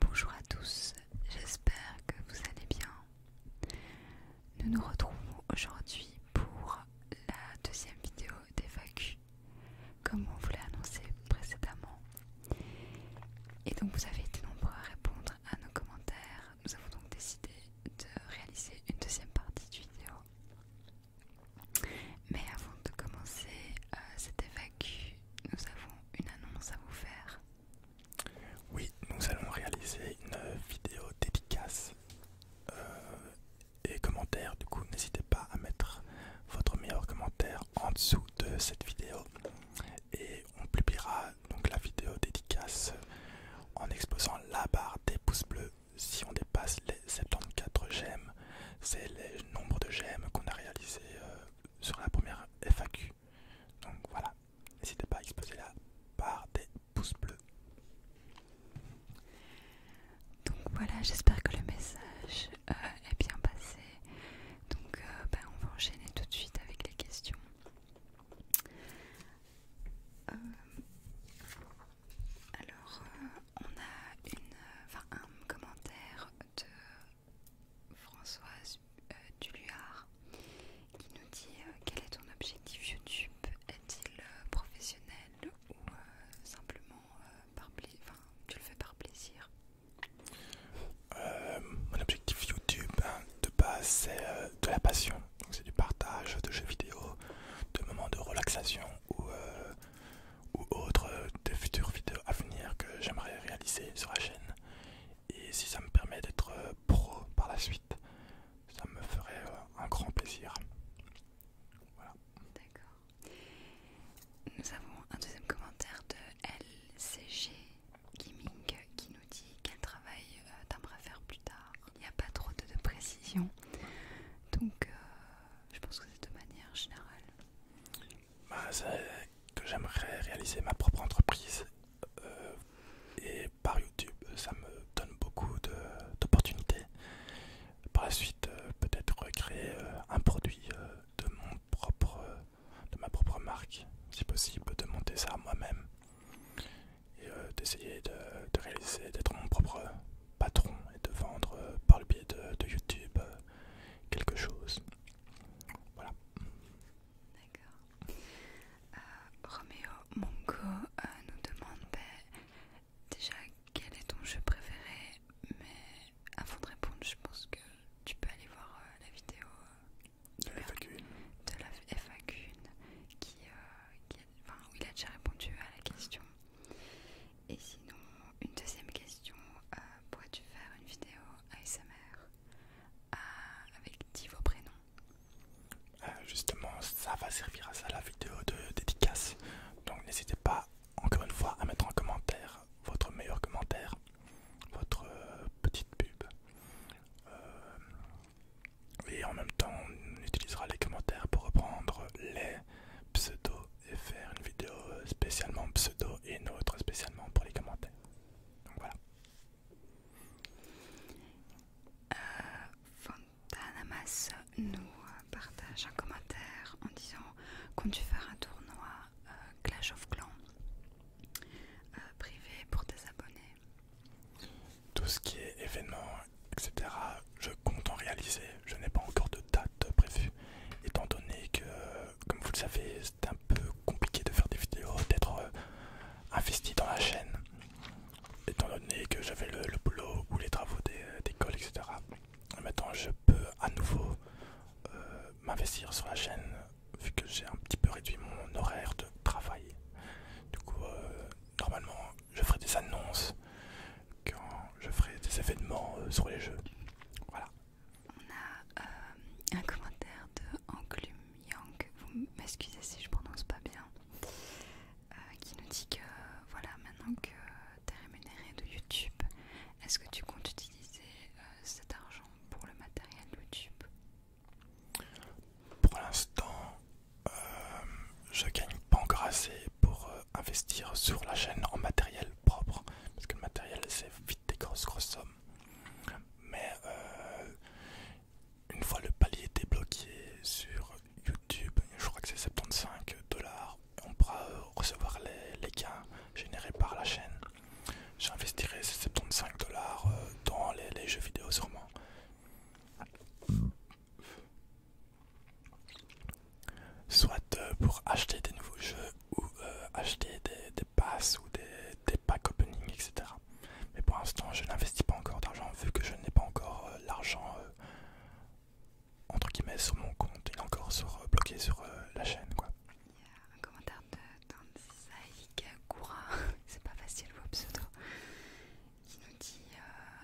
Bonjour à tous, j'espère que vous allez bien. Nous nous retrouvons aujourd'hui pour la deuxième vidéo des comme on vous l'a annoncé précédemment. Et donc vous avez été nombreux à répondre à nos commentaires. Nous avons donc décidé de réaliser une deuxième partie du vidéo. Mais avant de commencer euh, cet cette nous avons une annonce à vous faire. Oui, nous allons réaliser une vidéo dédicace euh, et commentaire. Du coup, n'hésitez pas à mettre votre meilleur commentaire en dessous de cette vidéo et on publiera donc la vidéo dédicace en exposant la barre des pouces bleus. Si on dépasse les 74 j'aime, c'est le nombre de j'aime qu'on a réalisé euh, sur la première FAQ. Donc voilà, n'hésitez pas à exposer la part des pouces bleus. Donc voilà, j'espère que le message euh, est bien passé. Donc euh, ben, on va enchaîner tout de suite avec les questions. Euh, alors on a une, enfin, un commentaire de Françoise euh, Duluard qui nous dit euh, quel est ton objectif YouTube Est-il euh, professionnel ou simplement par plaisir tu le fais par plaisir Mon objectif YouTube hein, de base c'est de la passion, donc c'est du partage de jeux vidéo, de moments de relaxation ou ou autres euh, de futures vidéos à venir que j'aimerais réaliser sur la chaîne. Et si ça me permet d'être euh, pro par la suite, ça me ferait euh, un grand plaisir. Voilà. D'accord. Nous avons un deuxième commentaire de LCG Gaming qui nous dit quel travail d'un t'aimerais faire plus tard. Il n'y a pas trop de, précisions, Donc je pense que c'est de manière générale. c'est bah, que j'aimerais réaliser ma propre entreprise euh, et par YouTube ça me donne beaucoup d'opportunités. Par la suite euh, peut-être créer euh, un produit de mon propre de ma propre marque si possible de monter ça moi-même et d'essayer de réaliser d'être mon propre patron et de vendre euh, par le biais de, YouTube euh, quelque chose. Voilà. D'accord. Euh, romeo Roméo Mongo nous demande déjà quel est ton jeu préféré, mais avant de répondre, je pense que tu peux aller voir la vidéo de, la FAQ qui, qui où il a déjà répondu à la question. Et sinon, une deuxième question, euh, pourrais-tu faire une vidéo ASMR euh, avec 10 vos prénoms euh, Justement, ça va servir à ça la vidéo de dédicace. Donc n'hésitez pas, encore une fois, à mettre en commentaire votre meilleur commentaire, votre petite pub. et en même temps, on utilisera les commentaires pour reprendre les pseudos et faire une vidéo euh, spécialement pseudo et une autre spécialement pour les commentaires. Donc voilà. Euh, nous partage un commentaire en disant qu'on tu faire un tournoi euh, Clash of Clans privé pour tes abonnés Tout ce qui est événement etc. Je compte en réaliser, je n'ai pas encore de date prévue, étant donné que, comme vous le savez, c'est un peu compliqué de faire des vidéos, d'être euh, investi dans la chaîne, étant donné que j'avais le, boulot ou les travaux euh, d'école, etc. maintenant, je peux à nouveau euh, m'investir sur la chaîne, vu que j'ai un petit peu réduit mon horaire de travail. Du coup, normalement, je ferai des annonces quand je ferai des événements euh, sur les jeux. Voilà. On a euh, un commentaire de Anglum Yang, vous m'excusez si je prononce pas bien, euh, qui nous dit que voilà, maintenant que tu es rémunéré de YouTube, est-ce que tu comptes utiliser cet argent pour le matériel YouTube Pour l'instant, euh, je gagne pas encore assez pour euh, investir sur la chaîne en matériel propre parce que le matériel c'est vite des grosses grosses sommes mais euh, une fois le palier débloqué sur youtube je crois que c'est 75 dollars on pourra recevoir les, gains générés par la chaîne j'investirai ces 75 dollars dans les, les jeux vidéo sûrement soit euh, pour acheter des nouveaux jeux ou euh, acheter des, passes ou des, packs opening, etc. Mais pour l'instant, je n'investis pas encore d'argent vu que je n'ai pas encore euh, l'argent entre guillemets sur mon compte et encore sur, bloqué sur la chaîne. Quoi. un commentaire de c'est pas facile vos il nous dit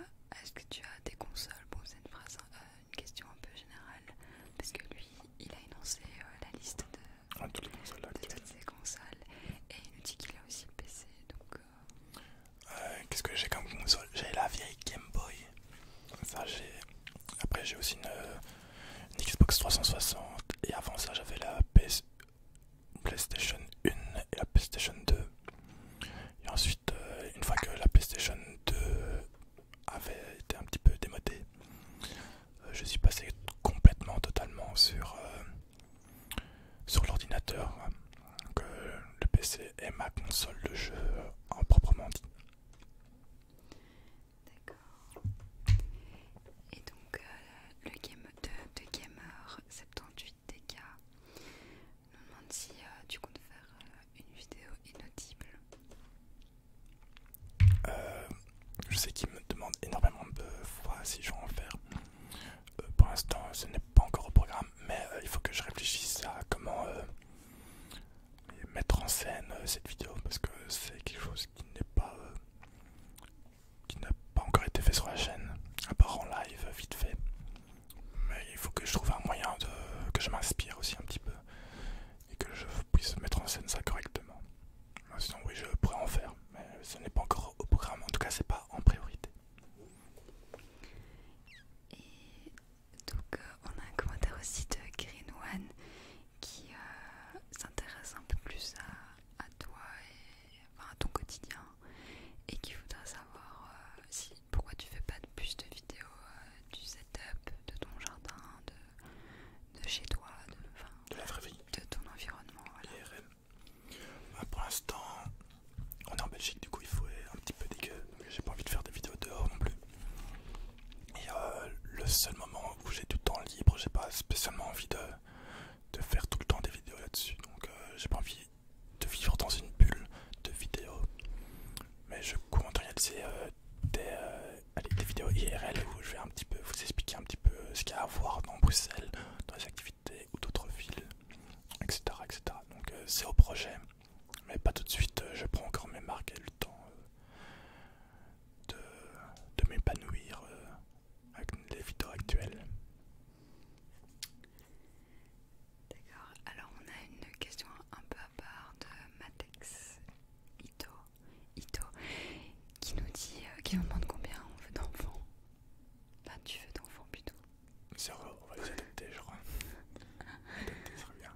euh, Est-ce que tu as des consoles Bon, c'est euh, une, question un peu générale, parce que lui, il a énoncé euh, la liste de, ah, toutes, ses consoles, et il nous dit qu'il a aussi le PC. Qu'est-ce que j'ai comme console J'ai la vieille Game Boy. Après, j'ai aussi une, Xbox 360, et avant ça, j'avais la PlayStation 1 et la PlayStation 2. Et ensuite, euh, une fois que la PlayStation 2 avait été un petit peu démodée, euh, je suis passé complètement, totalement sur, euh, sur l'ordinateur. Donc, hein, le PC est ma console de jeu en proprement dit. D'accord. Et donc, le game de, de Gamer 78DK si euh, tu comptes faire euh, une vidéo inaudible. Euh, je sais qu'il me demande énormément de fois si je vais en faire. pour l'instant, ce n'est pas encore au programme, mais il faut que je réfléchisse à comment mettre en scène cette vidéo parce que c'est quelque chose qui n'est pas qui n'a pas encore été fait sur la chaîne, à part en live, vite fait. Mais il faut que je trouve un moyen de que je m'inspire aussi un petit peu et que je puisse mettre en scène ça correctement. Sinon oui je pourrais en faire, mais ce n'est pas encore au programme, en tout cas c'est pas en priorité. Et donc euh, on a un commentaire aussi de Green One qui euh, s'intéresse un peu plus à, toi et à ton quotidien et qui voudrait savoir euh, si, pourquoi tu fais pas de plus de vidéos euh, du setup, de ton jardin, de, chez toi, de, la vraie vie, de ton environnement. Bah, pour l'instant, on est en Belgique, du coup il faut un petit peu dégueu, j'ai pas envie de faire des vidéos dehors non plus. Et euh, le seul moment où j'ai du temps libre, j'ai pas spécialement envie de, faire tout le temps des vidéos là-dessus, donc j'ai pas envie de vivre dans une bulle de vidéos. Mais je compte réaliser euh, euh, des, vidéos IRL où je vais un petit peu vous expliquer un petit peu ce qu'il y a à voir dans Bruxelles, dans les activités ou d'autres villes, etc. etc. Donc euh, c'est au projet, mais pas tout de suite. je prends encore mes marques et le temps de, m'épanouir avec les vidéos actuelles. D'accord, alors on a une question un peu à part de Matex Ito, Ito qui nous dit, euh, qui nous demande combien on veut d'enfants. Là, tu veux d'enfants plutôt Zéro, on va les adopter, je crois. adopter serait bien.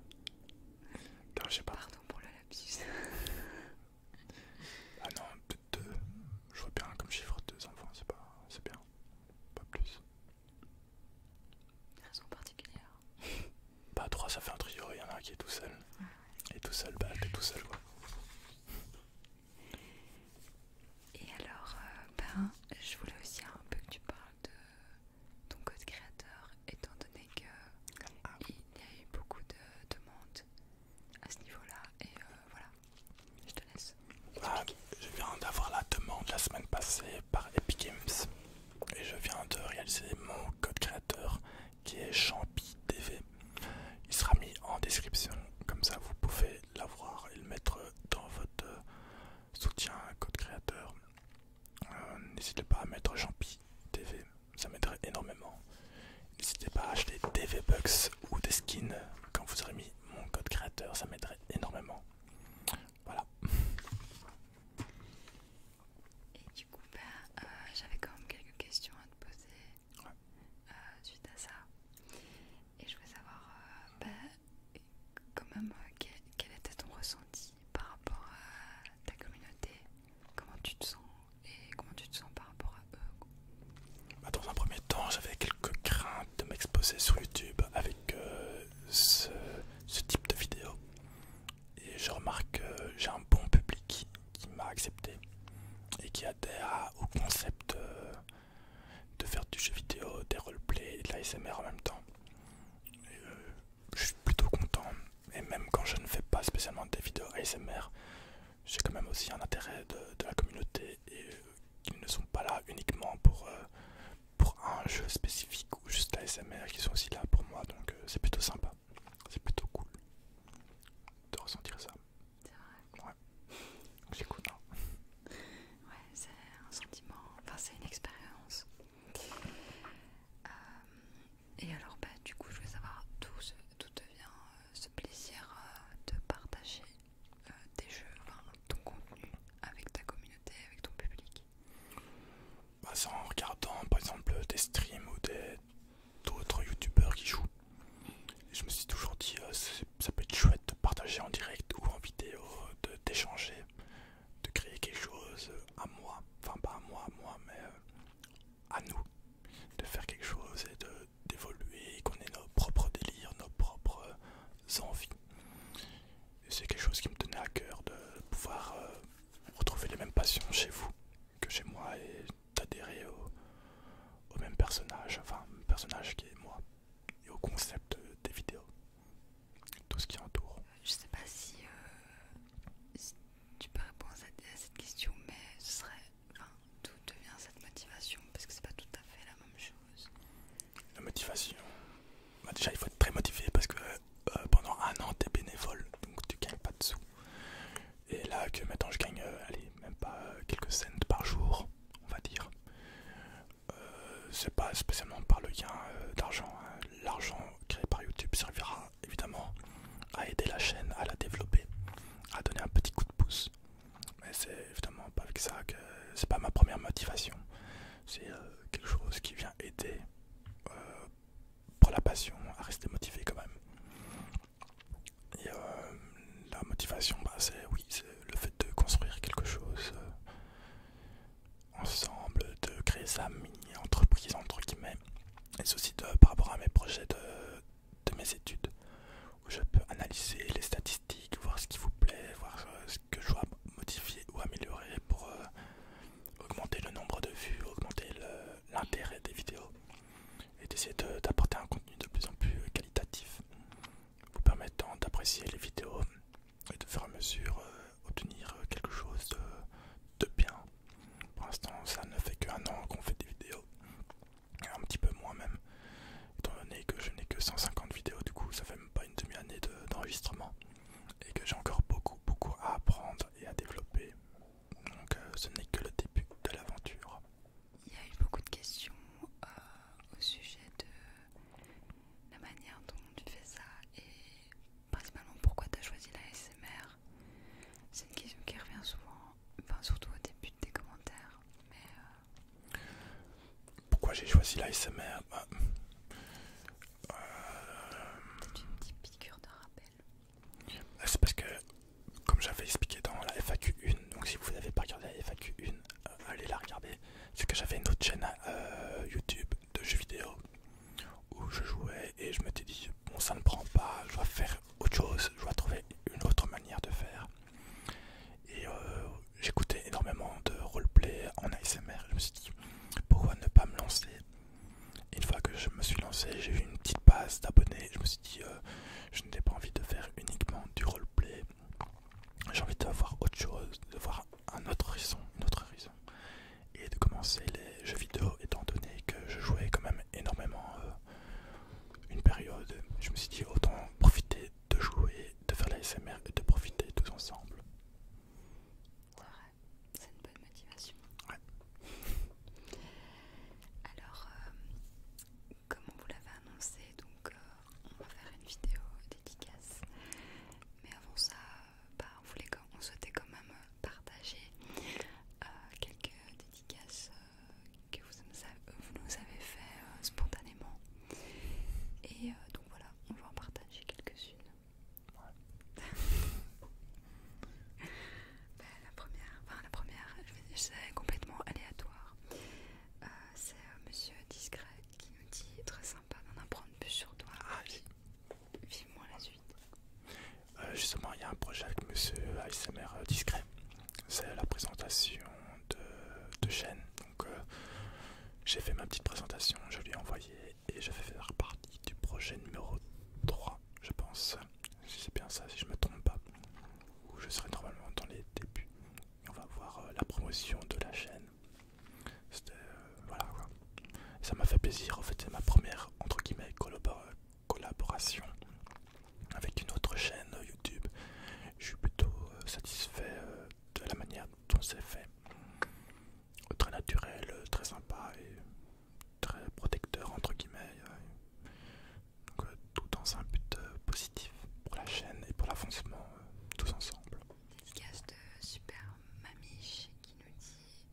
Non, je sais pas. Pardon pour le lapsus. ah non, 2. Je vois bien comme chiffre 2 enfants, c'est pas c'est bien. Pas plus. Raison particulière. Pas 3 bah, ça fait un trio, il y en a un qui est tout seul. Et tout seul, bah t'es tout seul quoi. Et alors, euh, ben, je voulais aussi un peu que tu parles de ton code créateur, étant donné que ah. y a eu beaucoup de demandes à ce niveau-là. Et euh, voilà, je te laisse. Bah, je viens d'avoir la demande la semaine passée par Epic Games et je viens de réaliser mon code créateur qui est TV. Il sera mis en description, comme ça vous pouvez l'avoir et le mettre dans votre soutien code créateur. Euh, n'hésitez pas à mettre Champi TV, ça m'aiderait énormément. N'hésitez pas à acheter TV ou des skins quand vous aurez mis mon code créateur, ça m'aiderait énormément. Voilà. Et du coup, bah, euh, j'avais quand même quelques questions à te poser euh, suite à ça. Et je voulais savoir, euh, bah, quand même, quel était ton ressenti par rapport à ta communauté Comment tu te sens et comment tu te sens par rapport à eux bah, Dans un premier temps, j'avais quelques craintes de m'exposer sur YouTube avec euh, ce, type de vidéo. Et je remarque que j'ai un bon public qui m'a accepté et qui adhère au concept euh, de faire du jeu vidéo, des roleplays et de l'ASMR en même temps. Euh, je suis plutôt content. Et même quand je ne fais pas spécialement des vidéos ASMR, j'ai quand même aussi un intérêt de, la communauté et euh, qu'ils ne sont pas là uniquement pour, euh, pour un jeu spécifique ou juste la SMR, qui sont aussi là pour moi, donc euh, c'est plutôt sympa, c'est plutôt cool de ressentir ça. C'est vrai. Ouais, c'est j'écoute. Hein. Ouais, c'est un sentiment, enfin c'est une expérience. et alors, bah, du coup, je veux savoir tout ce, d'où devient euh, ce plaisir euh, de partager des euh, tes jeux, ton contenu avec ta communauté, avec ton public bah, C'est en regardant par exemple des streams ou d'autres youtubeurs qui jouent. je me suis toujours dit, ça peut être chouette de partager en direct ou en vidéo, d'échanger, de, créer quelque chose à moi, enfin pas à moi, moi, mais à nous, de faire quelque chose et de, d'évoluer, qu'on ait nos propres délires, nos propres euh, envies. C'est quelque chose qui me tenait à cœur de pouvoir euh, retrouver les mêmes passions chez vous que chez moi et d'adhérer au, même personnage, enfin, personnage qui est moi, et au concept des vidéos, tout ce qui entoure. Je sais pas si euh, tu peux répondre à cette question, mais ce serait. d'où devient cette motivation Parce que c'est pas tout à fait la même chose. La motivation bah, Déjà, il faut être très motivé parce que euh, pendant un an, t'es bénévole, donc tu gagnes pas de sous. Et là, que maintenant je gagne, euh, allez, même pas euh, quelques cents par jour, on va dire. c'est pas spécialement par le gain d'argent. Hein. L'argent créé par YouTube servira évidemment à aider la chaîne, à la développer, à donner un petit coup de pouce. Mais c'est évidemment pas avec ça que c'est pas ma première motivation. C'est euh, quelque chose qui vient aider euh, pour la passion à rester motivé quand même. Et euh, la motivation, bah, c'est oui, c'est le fait de construire quelque chose ensemble, de créer sa mini entreprise entre guillemets et ceci par rapport à mes projets de, mes études, où je peux analyser les statistiques, voir ce qui vous plaît, voir euh, ce que je dois modifier ou améliorer pour euh, augmenter le nombre de vues, augmenter l'intérêt des vidéos, et d'essayer d'apporter un contenu de plus en plus euh, qualitatif, vous permettant d'apprécier les vidéos et de faire à mesure obtenir quelque chose de bien pour l'instant, ça ne fait qu'un an qu'on fait des vidéos, un petit peu moins même, étant donné que je n'ai que 150 vidéos, du coup, ça fait même pas une demi-année d'enregistrement et que j'ai encore beaucoup, beaucoup à apprendre et à développer. Donc, euh, ce n'est que le début de l'aventure. Il y a eu beaucoup de questions euh, au sujet de la manière dont tu fais ça et principalement pourquoi tu as choisi la SMR. C'est une question qui revient souvent, enfin surtout au début des commentaires. Mais euh, Pourquoi j'ai choisi la SMR bah, C'est une petite piqûre de rappel. C'est parce que, comme j'avais expliqué dans la FAQ1, donc si vous n'avez pas regardé la FAQ1, euh, allez la regarder. C'est que j'avais une autre chaîne euh, YouTube de jeux vidéo où je jouais et je m'étais dit bon ça ne prend pas, je dois faire autre chose, je dois trouver une autre manière de faire. Et euh, j'écoutais énormément de roleplay en ASMR, je me suis dit pourquoi ne pas me lancer Une fois que je me suis lancé, j'ai eu une petite base d'abonnés, je me suis dit euh, je n'ai pas envie de faire uniquement du roleplay, j'ai envie d'avoir autre chose, de voir un autre horizon, une autre horizon et de commencer les jeux vidéo étant donné que je jouais quand même énormément euh, une période. Je me suis dit autant profiter de jouer, de faire la SMR et de profiter tous ensemble. C'est c'est une bonne motivation. Ouais. Alors, euh, comme on vous l'avait annoncé, donc euh, on va faire une vidéo dédicace. Mais avant ça, euh, bah, on souhaitait quand même euh, partager euh, quelques dédicaces que vous nous avez, vous fait spontanément. Et donc voilà, on va en partager quelques-unes. Ben, la première, enfin la première, c'est complètement aléatoire. c'est Monsieur Discret qui nous dit très sympa d'en apprendre plus sur toi. Ah, la suite. Euh, justement, il y a un projet avec Monsieur ASMR euh, Discret. C'est la présentation de, chaîne. Donc, euh, j'ai fait ma petite présentation, je lui ai envoyé et je vais faire partie du projet numéro 3, je pense. Si c'est bien ça, si je me trompe pas. Où je serai normalement dans les débuts. on va voir la promotion de la chaîne. C'était. Euh, voilà ça m'a fait plaisir, en fait, c'est ma première, entre guillemets, collaboration avec une autre chaîne euh, YouTube. Je suis plutôt euh, satisfait de la manière dont c'est fait. Très naturel, très sympa et très protecteur, entre guillemets. tout dans un but positif pour la chaîne et pour l'avancement tous ensemble. Dédicace de Super Mamiche qui nous dit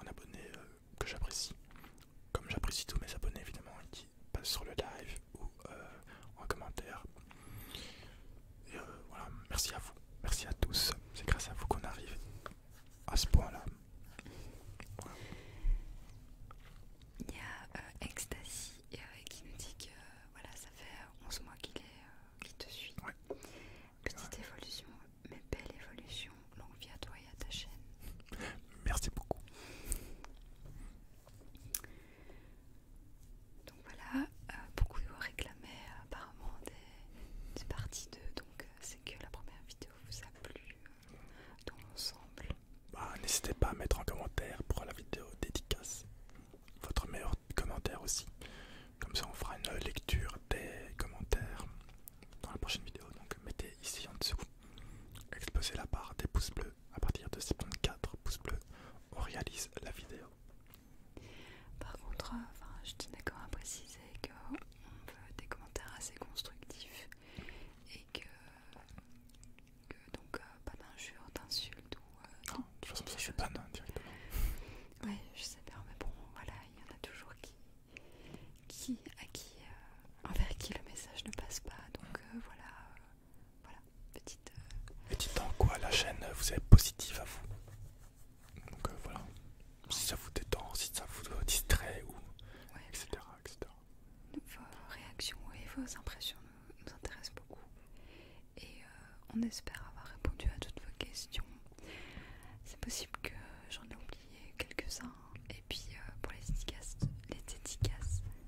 un abonné euh, que j'apprécie, comme j'apprécie tous mes abonnés évidemment, qui passent sur le live ou euh, en commentaire. Euh, voilà, merci à vous, merci à tous, c'est grâce à vous qu'on arrive à ce point-là. Il y a Ecstasy qui nous dit que voilà, ça fait 11 mois qu'il te suit. Petite évolution, mais belle évolution. Longue vie à toi et à ta chaîne. Merci beaucoup. Donc voilà, euh, de vous réclamaient apparemment des, parties 2, donc euh, c'est que la première vidéo vous a plu euh, dans l'ensemble. Bah, n'hésitez pas à mettre en commentaire pour la vidéo dédicace votre meilleur commentaire aussi. Comme ça on fera une lecture des commentaires dans la prochaine vidéo. Donc mettez ici en dessous, exposez la barre des pouces bleus. À partir de 74 pouces bleus, on réalise la vidéo. Par contre, euh, je tenais quand même à préciser qu'on veut des commentaires assez constructifs et que, donc euh, pas d'injures, d'insultes ou... Euh, non, de toute façon ça directement. Ouais, je sais pas, mais bon, voilà, il y en a toujours qui, à qui, envers euh, qui le message ne passe pas. Donc euh, voilà, euh, voilà, petite. petite en quoi la chaîne vous est positive à vous. Donc voilà, si ça vous détend, si ça vous distrait ou etc., Vos réactions et vos impressions nous, nous intéressent beaucoup. Et euh, on espère avoir répondu à toutes vos questions. C'est possible que j'en ai oublié quelques-uns. Et puis euh, pour les dédicaces, les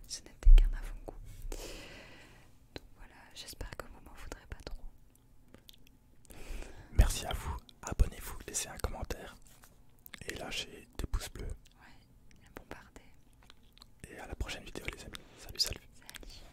ce n'était qu'un avant-goût. Donc voilà, j'espère que vous m'en voudrez pas trop. Merci à vous, abonnez-vous, laissez un commentaire et lâchez des pouces bleus. Ouais, bombardez. Et à la prochaine vidéo les amis. salut. Salut.